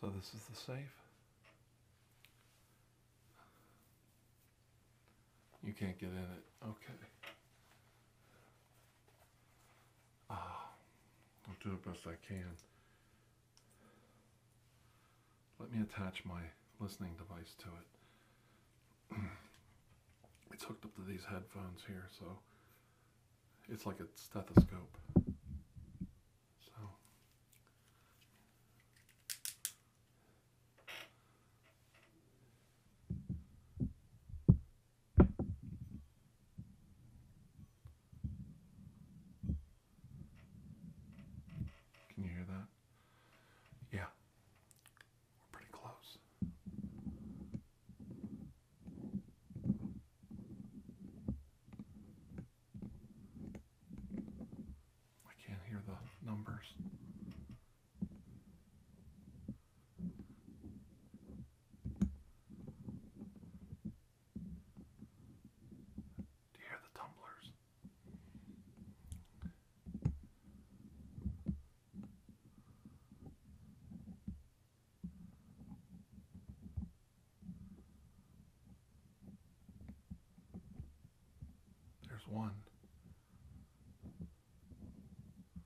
So this is the safe. You can't get in it. Okay. I'll do the best I can. Let me attach my listening device to it. it's hooked up to these headphones here, so it's like a stethoscope. So can you hear that? Yeah, we're pretty close. I can't hear the numbers. Do you hear the tumblers? There's one.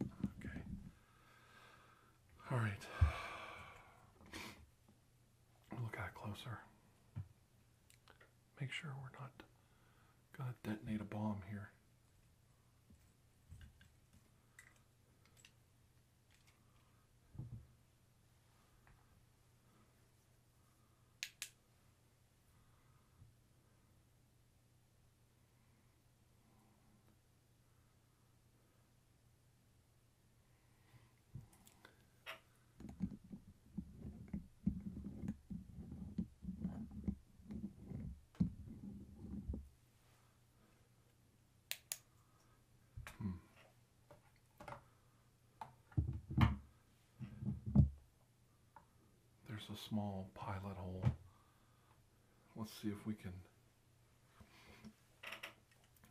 Okay. All right. Look at it closer. Make sure we're not going to detonate a bomb here. Hmm. There's a small pilot hole. Let's see if we can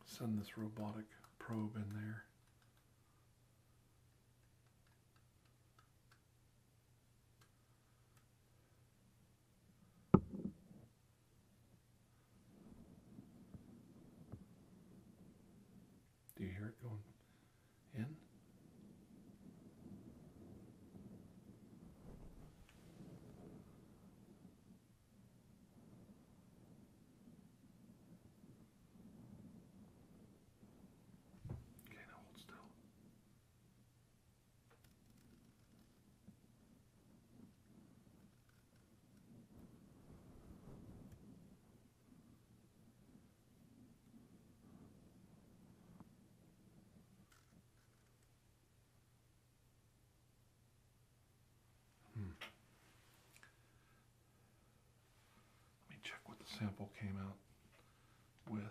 Send this robotic probe in there. Do you hear it going in? Okay, now hold still. Hmm. Let me check what the sample came out with.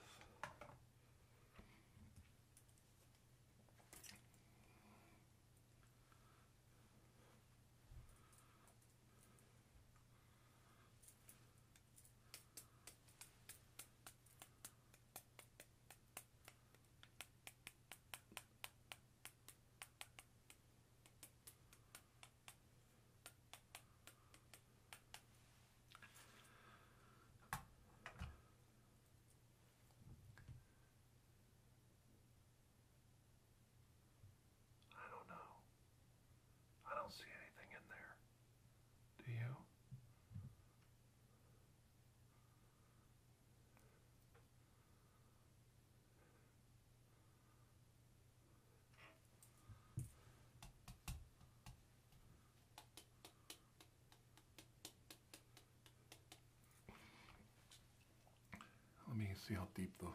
I don't know. I don't see anything in there. Do you? Let me see how deep the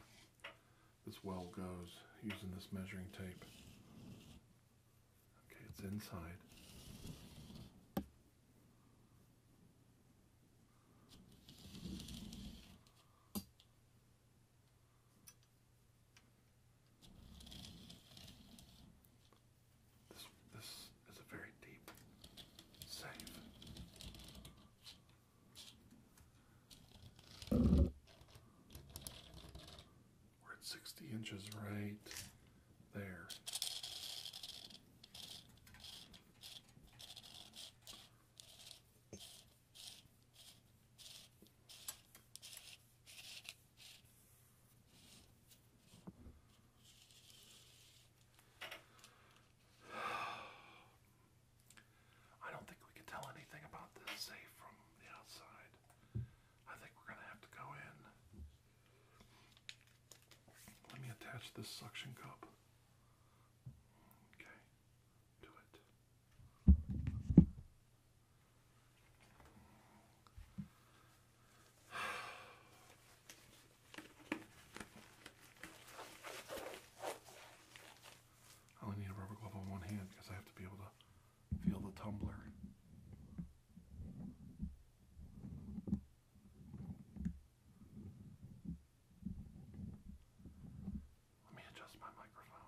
this well goes using this measuring tape. Okay, it's inside. This this is a very deep safe. We're at sixty inches right there. I don't think we can tell anything about this safe from the outside. I think we're going to have to go in let me attach this suction cup. Okay, do it. I only need a rubber glove on one hand because I have to be able to feel the tumbler. Let me adjust my microphone.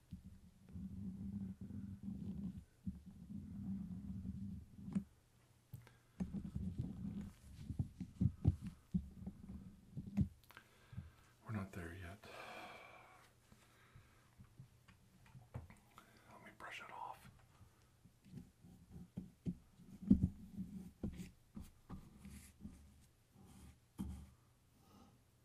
We're not there yet. Let me brush it off.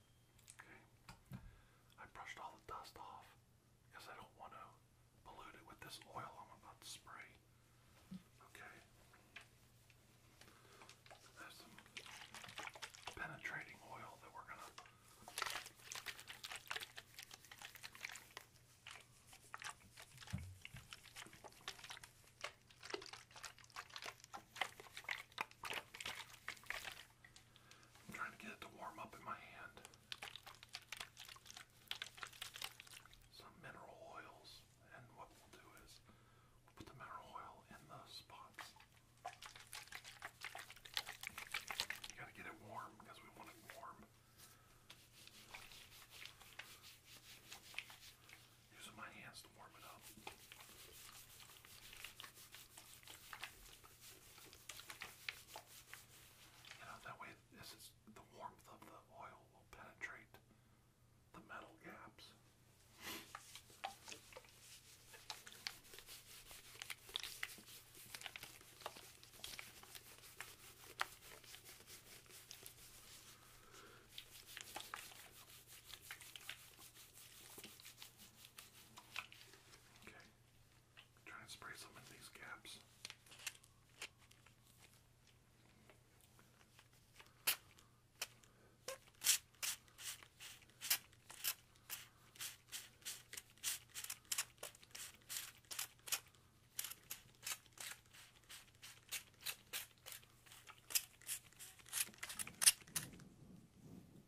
Okay. I brushed all the dust off because I don't want to pollute it with this oil I'm about to spray. Okay. There's some penetrating oil that we're gonna I'm trying to get it to warm up in my hand. Some mineral oils, and what we'll do is we'll put the mineral oil in the spots. You gotta get it warm because we want it warm. Using my hands to warm it up. You know, that way this is the warmth of the oil will penetrate the metal gaps. Okay. I'm trying to spray some in these gaps. Okay.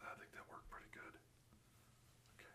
I think that worked pretty good. Okay. Okay.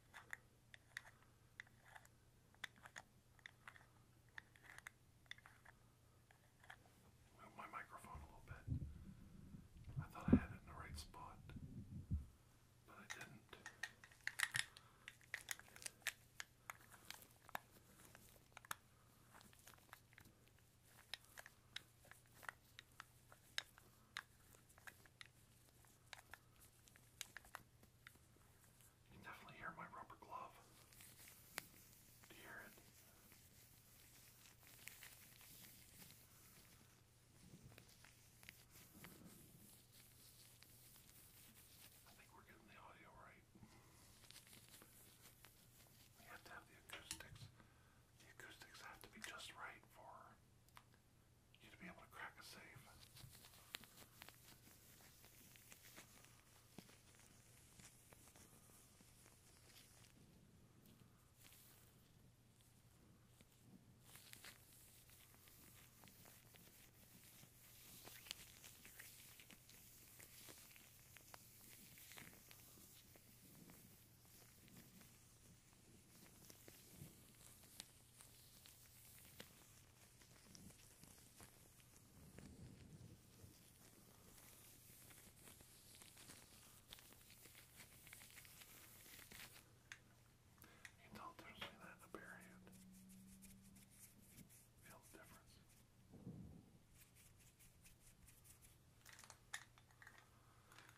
Move my microphone a little bit. I thought I had it in the right spot, but I didn't. You can definitely hear my rubber glove. Do you hear it? I think we're getting the audio right. We have to have the acoustics. The acoustics have to be just right for you to be able to crack a save. You don't there's me that in a bare hand. Feel the difference. Okay,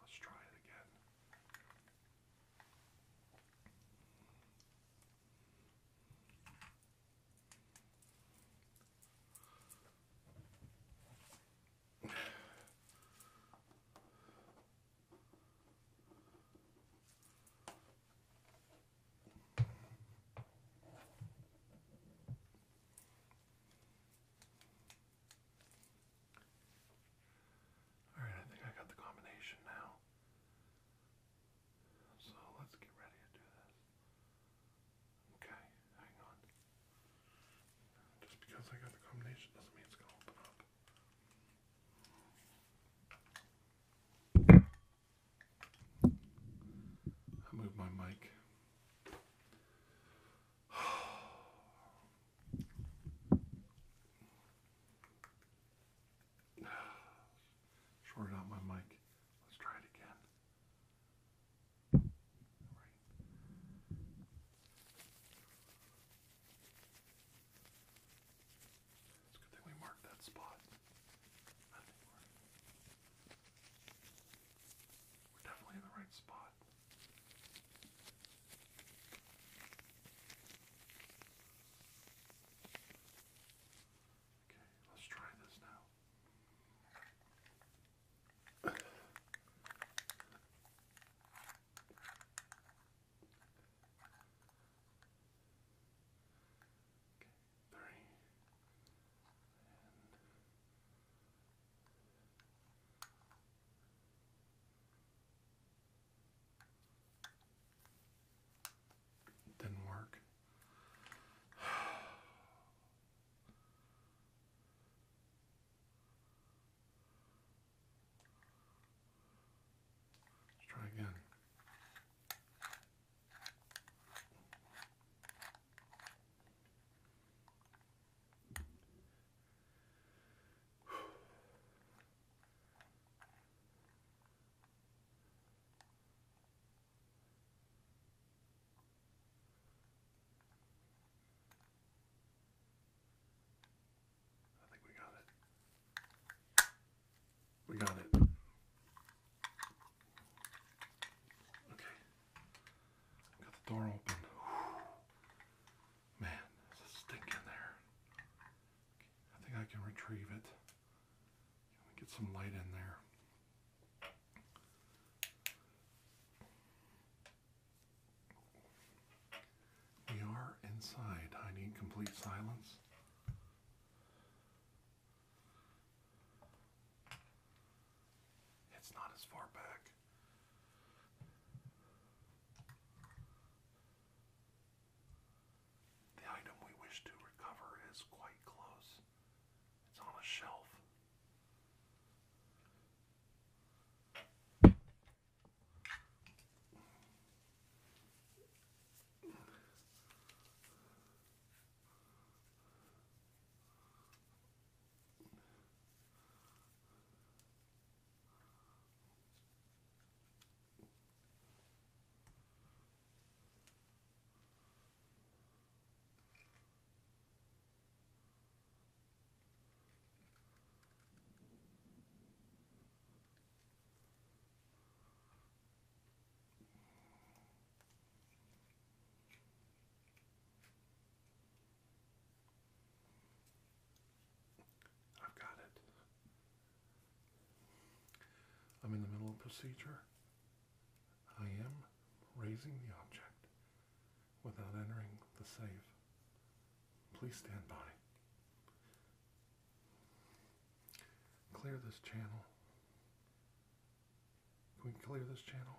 let's try it again. Okay. All right, I think I got the combination now. So let's get ready to do this. Okay, hang on. Just because I got the combination doesn't mean it's going to open up. I moved my mic. Shorted out my mic. Let's try it again. It's good thing we marked that spot. we're definitely in the right spot. Okay, let's try this now. Okay, three. And didn't work. Let's try again. I think we got it. We got it. Okay. Got the door open. Man, there's a stink in there. I think I can retrieve it. Get some light in there. We are inside. I need complete silence. It's not as far back. The item we wish to recover is quite close. It's on a shelf. I've got it. I'm in the middle of procedure. I am raising the object without entering the safe. Please stand by. Clear this channel. Can we clear this channel?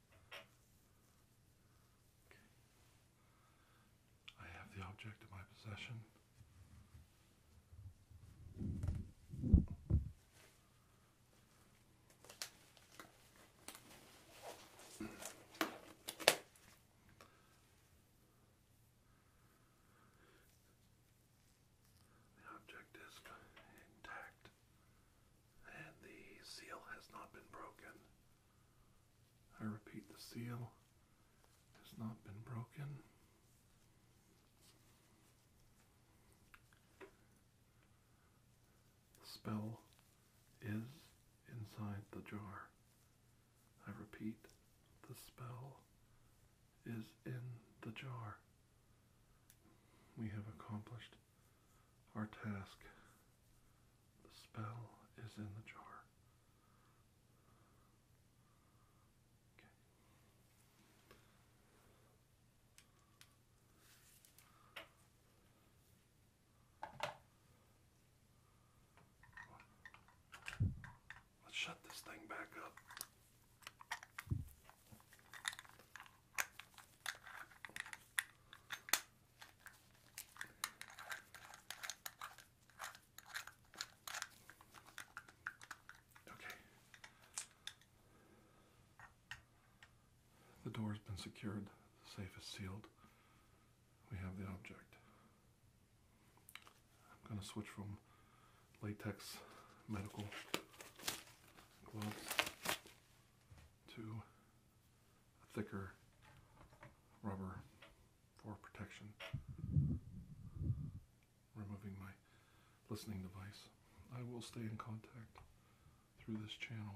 I have the object in my possession. The object is intact and the seal has not been broken. I repeat, the seal has not been broken. The spell is inside the jar. I repeat, the spell is in the jar. We have accomplished our task. The spell is in the jar. Okay. Let's shut this thing back up. Okay. The door's been secured, the safe is sealed. We have the object. I'm going to switch from latex medical gloves to thicker rubber for protection. Removing my listening device. I will stay in contact through this channel.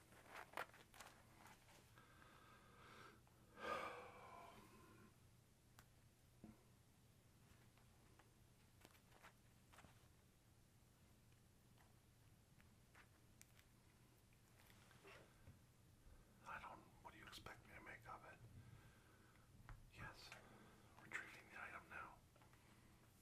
I don't. What do you expect me to make of it? Yes, retrieving the item now.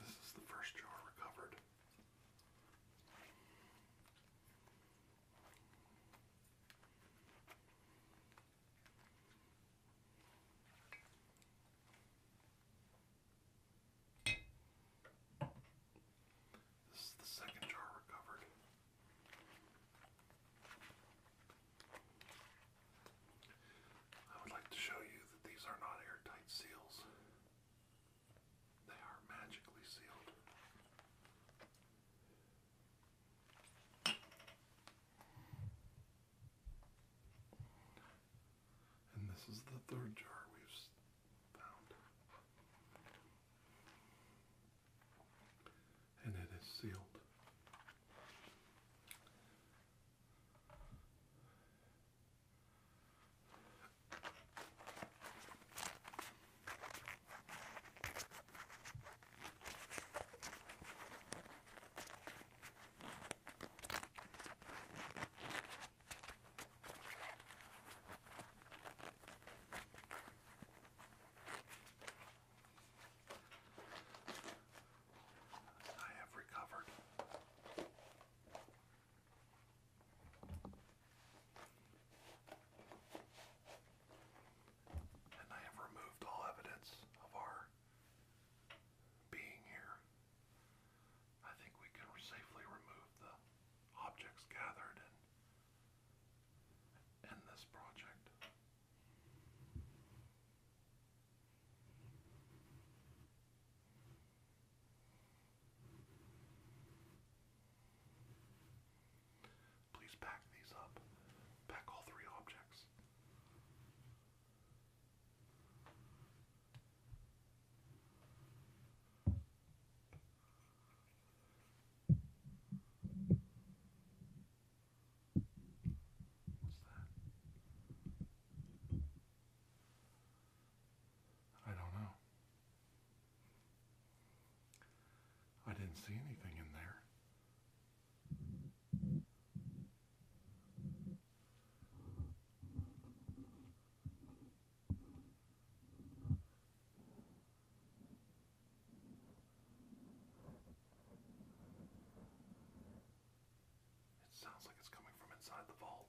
This is the first jar recovered. This is the second jar recovered. I would like to show you that these are not airtight seals. They are magically sealed. And this is the third jar we've found. And it is sealed. I have recovered. And I have removed all evidence of our being here. I think we can safely remove the objects gathered and this project. Please pack these up. Pack all three objects. I don't know. I didn't see anything in there. It sounds like it's coming from inside the vault.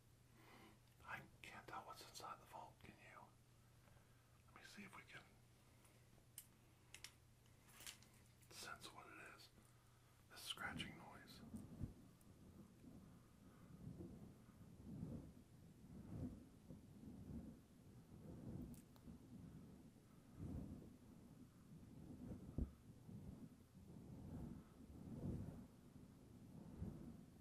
I can't tell what's inside the vault, can you? Let me see if we can sense what it is. This scratching noise.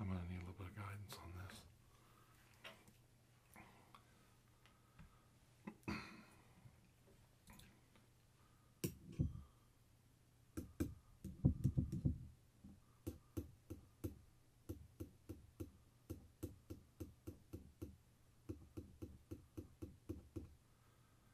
I'm going to need a little bit of guidance on this.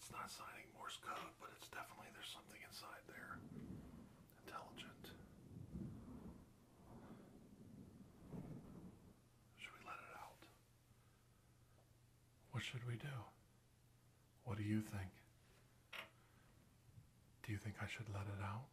It's not signing Morse code, but it's definitely there's something inside there. Intelligent. Should we let it out? What should we do? What do you think? Do you think I should let it out?